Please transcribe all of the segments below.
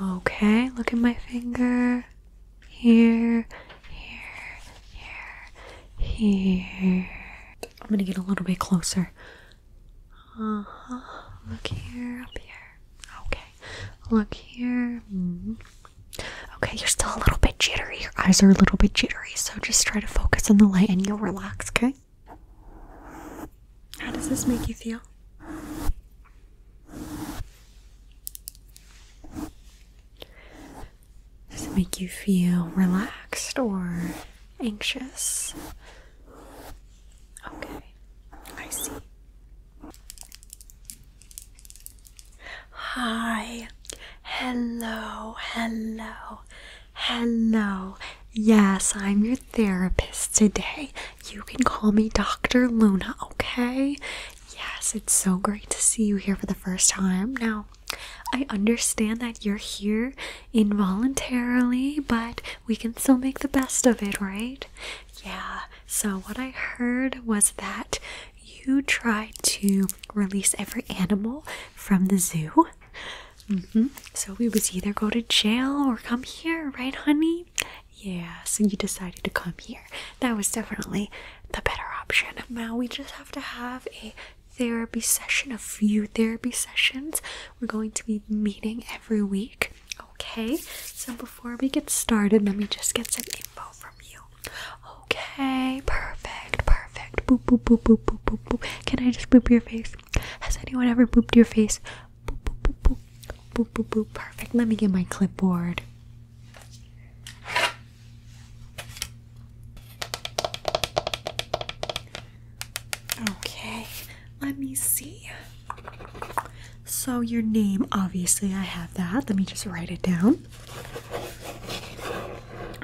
Okay, look at my finger. Here, here, here, here. I'm gonna get a little bit closer. Uh huh. Look here, up here. Okay. Look here. Mm-hmm. Okay, you're still a little bit jittery. Your eyes are a little bit jittery, so just try to focus on the light and you'll relax, okay? How does this make you feel? Does it make you feel relaxed or anxious? Okay, I see. Hi, hello, hello, hello. Yes, I'm your therapist today you can call me Dr. Luna, okay? Yes, it's so great to see you here for the first time. Now, I understand that you're here involuntarily, but we can still make the best of it, right? Yeah, so what I heard was that you tried to release every animal from the zoo. Mm-hmm, so we would either go to jail or come here, right, honey? Yeah, so you decided to come here. That was definitely the better option. Now we just have to have a therapy session, a few therapy sessions. We're going to be meeting every week. Okay, so before we get started, let me just get some info from you. Okay, perfect, perfect. Boop, boop, boop, boop, boop, boop, boop. Can I just boop your face? Has anyone ever booped your face? Perfect. Let me get my clipboard. Okay, let me see. So, your name, obviously, I have that. Let me just write it down.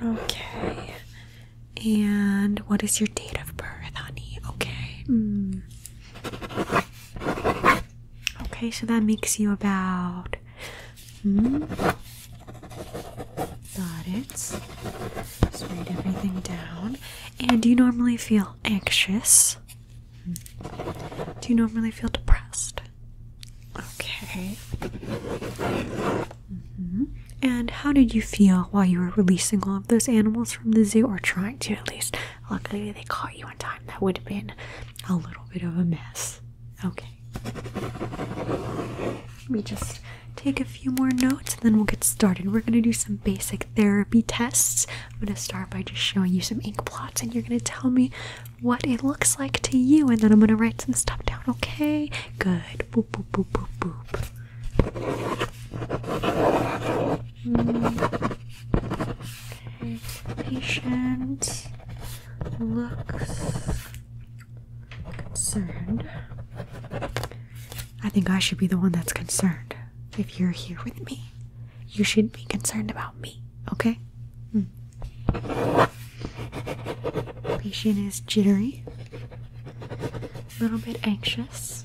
Okay, and what is your date of birth, honey? Okay. Hmm. Okay, so that makes you about. Hmm. Got it. Just write everything down. And do you normally feel anxious? Do you normally feel depressed? Okay. Mm-hmm. And how did you feel while you were releasing all of those animals from the zoo, or trying to at least? Luckily, they caught you on time. That would have been a little bit of a mess. Okay. Let me just take a few more notes and then we'll get started. We're going to do some basic therapy tests. I'm going to start by just showing you some ink blots, and you're going to tell me what it looks like to you and then I'm going to write some stuff down, okay? Good. Mm. patient looks concerned. I think I should be the one that's concerned. If you're here with me, you should be concerned about me, okay? Mm. Patient is jittery, a little bit anxious.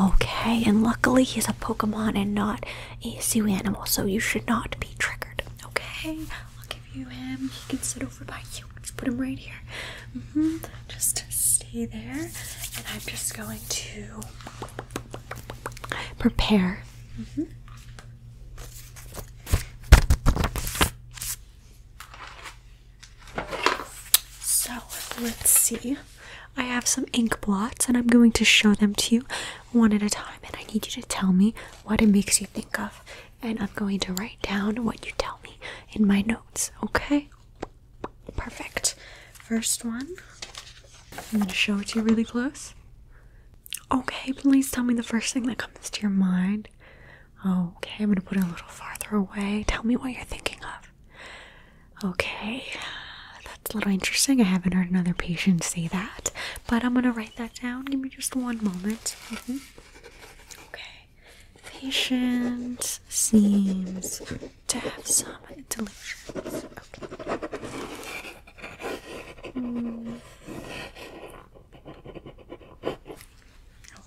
Okay, and luckily he's a Pokemon and not a sea animal, so you should not be triggered. Okay, I'll give you him. He can sit over by you. Just put him right here. -hmm. Just stay there, and I'm just going to prepare. -hmm. So let's see. I have some ink blots and I'm going to show them to you one at a time. And I need you to tell me what it makes you think of. And I'm going to write down what you tell me in my notes, okay? Perfect. First one. I'm going to show it to you really close. Okay, please tell me the first thing that comes to your mind. Okay, I'm going to put it a little farther away. Tell me what you're thinking of. Okay, that's a little interesting. I haven't heard another patient say that, but I'm gonna write that down. Give me just one moment. Mm-hmm. Okay, patient seems to have some delusions.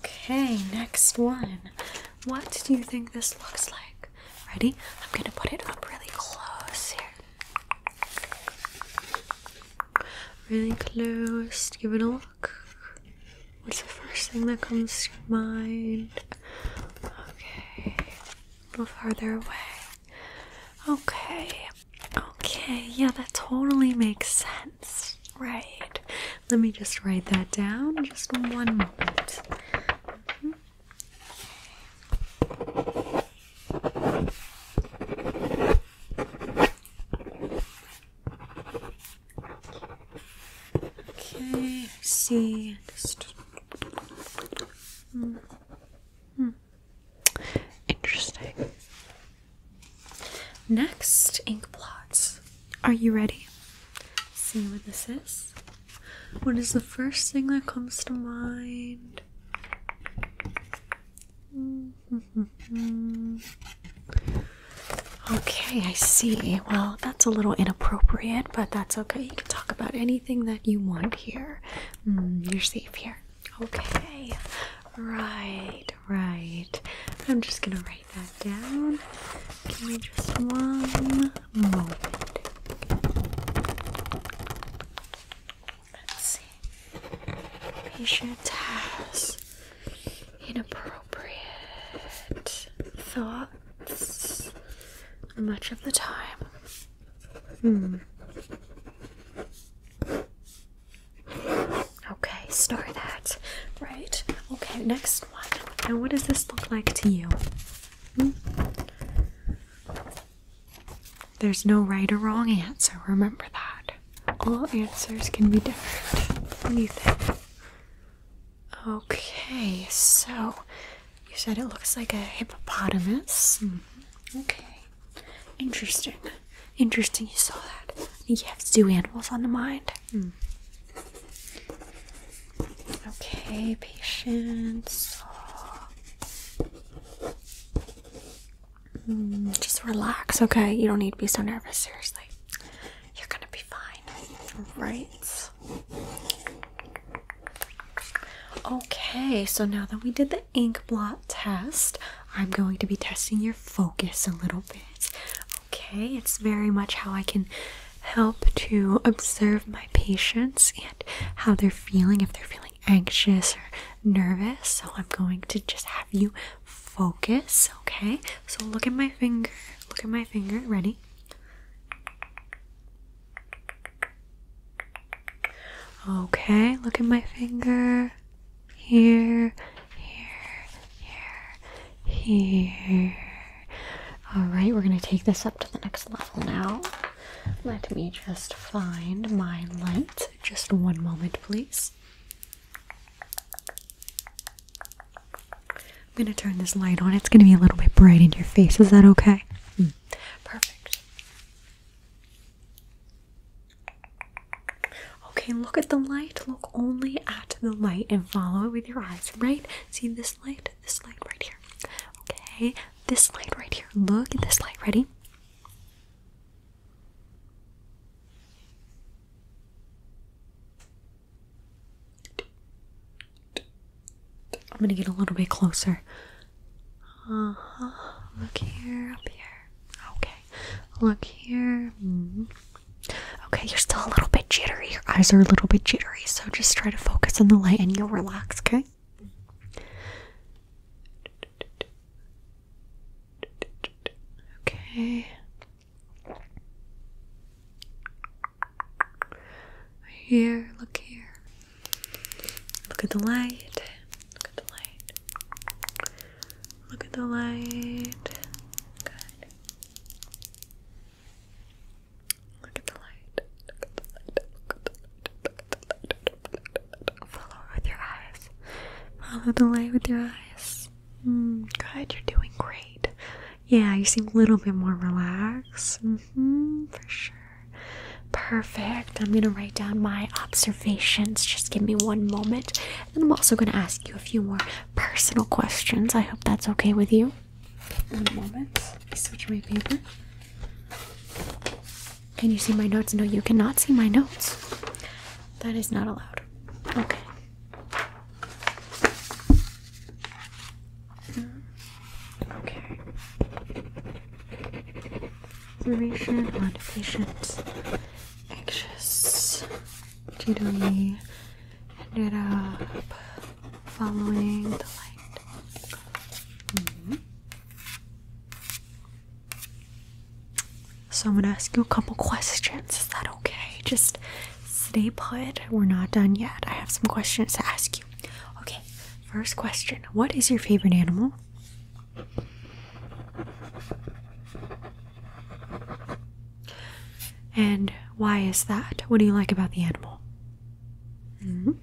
Okay, next one. What do you think this looks like? Ready? I'm going to put it up really close here. Really close. Give it a look. What's the first thing that comes to mind? Okay. A little farther away. Okay. Okay, yeah, that totally makes sense. Right. Let me just write that down. Just one moment. Mm-hmm. Okay, see. Hmm. interesting. Next, ink plots. Are you ready? See what this is. What is the first thing that comes to mind? Mm-hmm. okay, I see. Well, that's a little inappropriate, but that's okay. You can talk about anything that you want here. Mm, you're safe here. Okay. Right, right. I'm just gonna write that down. Give me just one moment. see. Patient has inappropriate thoughts much of the time. Hmm. Okay, star that. Right. Okay, next one. Now, what does this look like to you? There's no right or wrong answer, remember that. All answers can be different. Anything. Okay, so you said it looks like a hippopotamus. Hmm, okay. Interesting. Interesting you saw that. I think you have zoo animals on the mind. Hmm. Okay, patience. Hmm, just relax, okay? You don't need to be so nervous, seriously. You're gonna be fine. Right. Okay, so now that we did the ink blot test, I'm going to be testing your focus a little bit. Okay, it's very much how I can help to observe my patients and how they're feeling, if they're feeling anxious or nervous. So I'm going to just have you focus, okay? So look at my finger, look at my finger, ready? Okay, look at my finger. Here, here, here, here, all right, we're gonna take this up to the next level now. Let me just find my light. Just one moment, please. I'm gonna turn this light on. It's gonna be a little bit bright in your face. Is that okay? Hmm. perfect. Okay, look at the light. Look only at the light and follow it with your eyes, right? See this light? this light right here. Okay, this light right here. Look at this light. Ready? I'm gonna get a little bit closer. Uh-huh. Look here, up here. Okay. Look here. Mm-hmm. Okay, you're still a little bit jittery. Your eyes are a little bit jittery so just try to focus on the light and you'll relax, okay? Okay. Here, look here. Look at the light. Look at the light. Look at the light. Good. Look at the light. Follow with your eyes. Follow the light with your eyes. Mm, good, you're doing great. Yeah, you seem a little bit more relaxed. Mm-hmm, for sure. Perfect. I'm gonna write down my observations. Just give me one moment. And I'm also gonna ask you a few more personal questions. I hope that's okay with you. One moment. I switch my paper. Can you see my notes? No, you cannot see my notes. That is not allowed. Okay. Hmm. Okay. Observation on patient anxious, jittery, ended up following the light. Mm-hmm. So I'm gonna ask you a couple questions. Is that okay? Just stay put. We're not done yet. I have some questions to ask you. Okay, first question. What is your favorite animal? And why is that? What do you like about the animal? -hmm.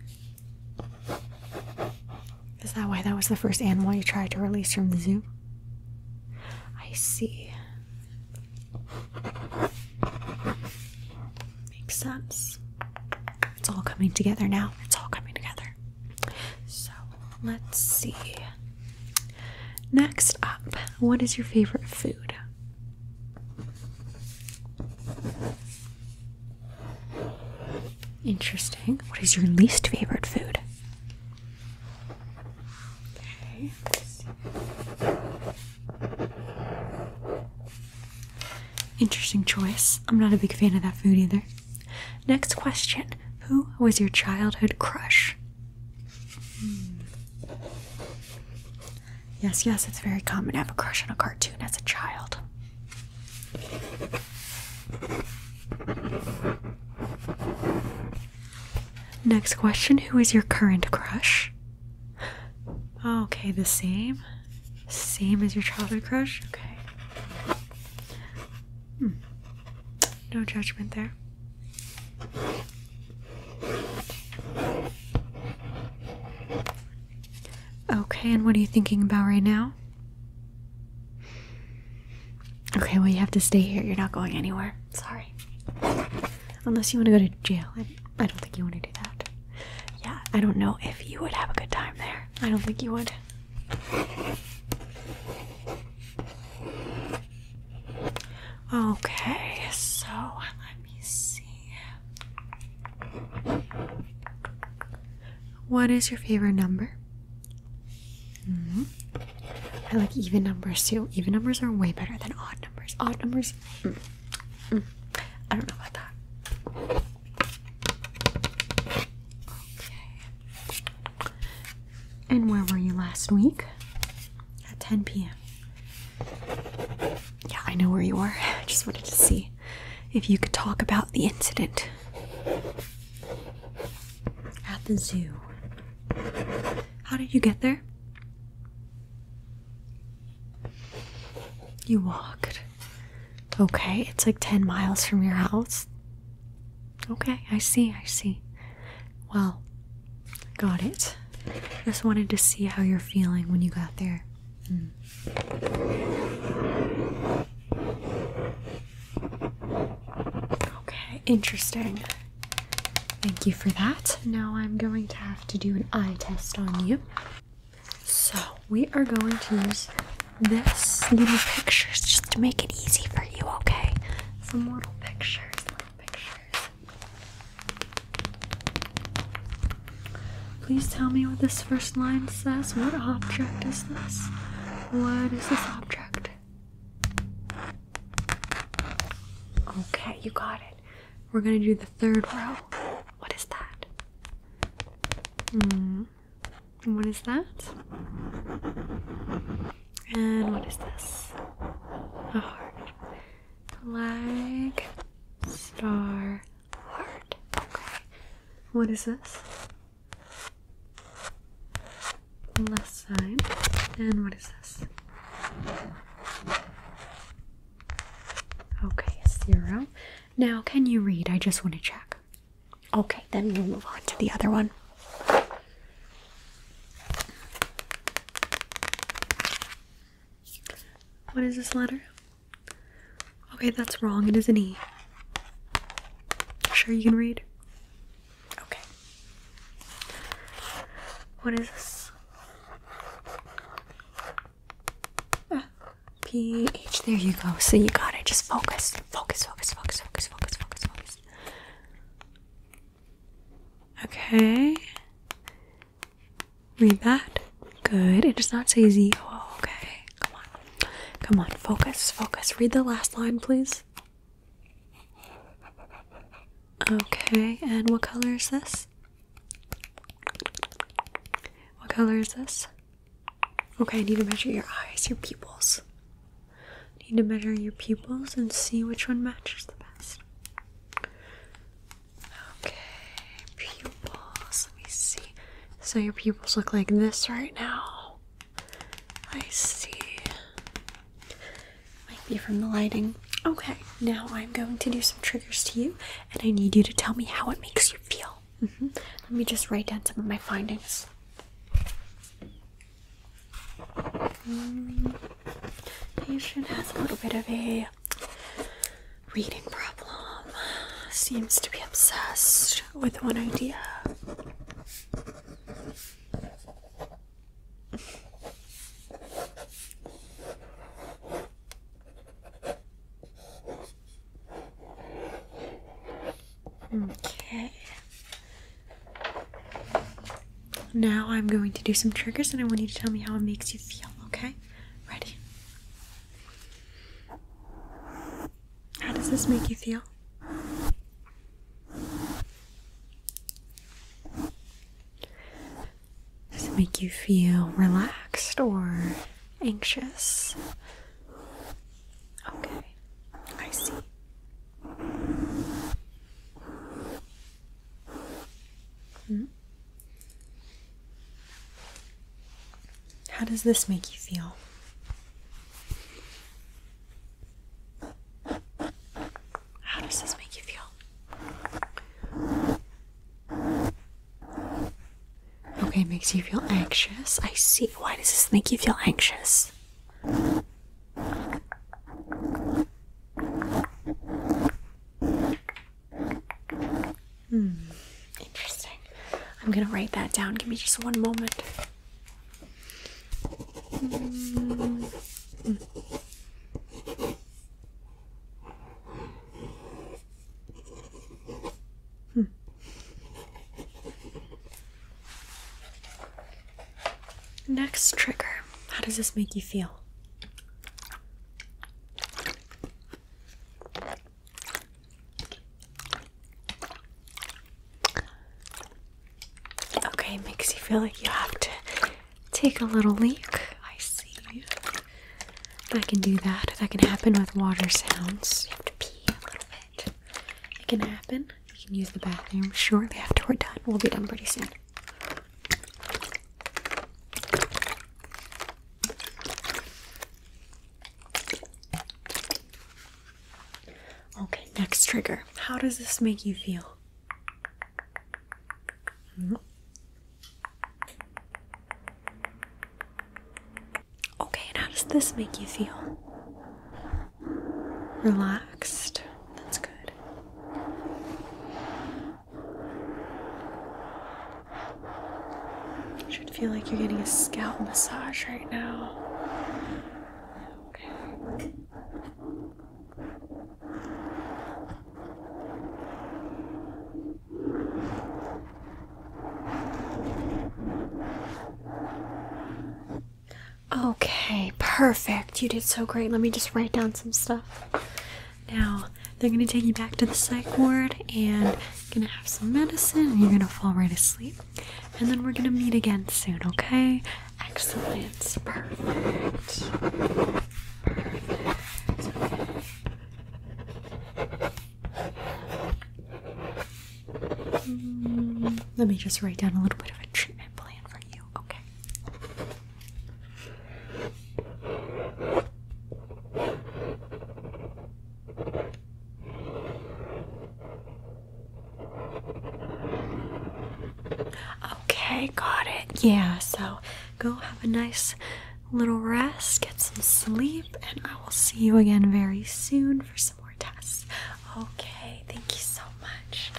Is that why that was the first animal you tried to release from the zoo? I see. Makes sense. It's all coming together now. It's all coming together. So let's see. Next up, what is your favorite food? Interesting. What is your least favorite food? Interesting choice. I'm not a big fan of that food either. Next question Who was your childhood crush? Hmm. Yes, yes, it's very common to have a crush on a cartoon as a child. Next question Who is your current crush? Okay, the same. Same as your childhood crush? Okay. Hmm. No judgment there. Okay, and what are you thinking about right now? Okay, well, you have to stay here. You're not going anywhere. Sorry. Unless you want to go to jail. I, don't think you want to do that. Yeah, I don't know if you would have a good time there. I don't think you would. Okay, so let me see. What is your favorite number? Mm-hmm. I like even numbers too. Even numbers are way better than odd numbers. Odd numbers, mm, mm. I don't know about that. Okay. And where were you last week? At 10 p.m. Yeah, I know where you are. I just wanted to see if you could talk about the incident at the zoo. How did you get there? You walked. Okay, it's like 10 miles from your house. Okay, I see, I see. Well, got it. Just wanted to see how you're feeling when you got there. Okay, interesting. Thank you for that. Now I'm going to have to do an eye test on you. So, we are going to use this little pictures just to make it easy for you, okay? Some little pictures, little pictures. Please tell me what this first line says. What object is this? What is this object? Okay, you got it. We're gonna do the third row. What is that? Hmm. What is that? And what is this? A heart. Flag, star, what is this? Left side. And what is this? Okay, zero. Now, can you read? I just want to check. Okay, then we'll move on to the other one. What is this letter? Okay, that's wrong. It is an E. Sure, you can read? Okay. What is this? PH. Ah, there you go. So you got it. Just Focus, focus, focus, focus, focus, focus, focus. Okay. Read that. Good. It does not say Z. Oh, okay. Come on. Come on. Focus. Focus. Read the last line, please. Okay. And what color is this? What color is this? Okay, I need to measure your eyes, your pupils. I need to measure your pupils and see which one matches the best. Okay, pupils. Let me see. So your pupils look like this right now. I see. Might be from the lighting. Okay, now I'm going to do some triggers to you, and I need you to tell me how it makes you feel. Mm-hmm. Let me just write down some of my findings. Mm. Patient has a little bit of a reading problem seems to be obsessed with one idea. Okay. Now I'm going to do some triggers and I want you to tell me how it makes you feel, okay? Ready? How does this make you feel? Does it make you feel relaxed or anxious? Okay, I see. Hmm. How does this make you feel? How does this make you feel? Okay, makes you feel anxious. I see. Why does this make you feel anxious? Hmm. Interesting. I'm gonna write that down. Give me just one moment. Mm. Mm. Hmm. Next trigger. How does this make you feel? Okay, makes you feel like you have to take a little leak. I see. I can do that. That can happen with water sounds. You have to pee a little bit. It can happen. You can use the bathroom shortly after we're done. We'll be done pretty soon. Okay, next trigger. How does this make you feel? Mm-hmm. Okay, how does this make you feel? Relaxed. That's good. You should feel like you're getting a scalp massage right now. Okay, perfect. You did so great. Let me just write down some stuff. Now, they're gonna take you back to the psych ward and you're gonna have some medicine and you're gonna fall right asleep. And then we're gonna meet again soon, okay? Excellent. Perfect. Perfect. Okay. let me just write down a little bit of a treatment plan for you, okay? Okay, got it. Yeah, so go have a nice little rest, get some sleep, and I will see you again very soon for some more tests. Okay, thank you so much.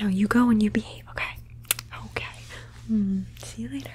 Now you go and you behave, okay? Okay. Hmm, see you later.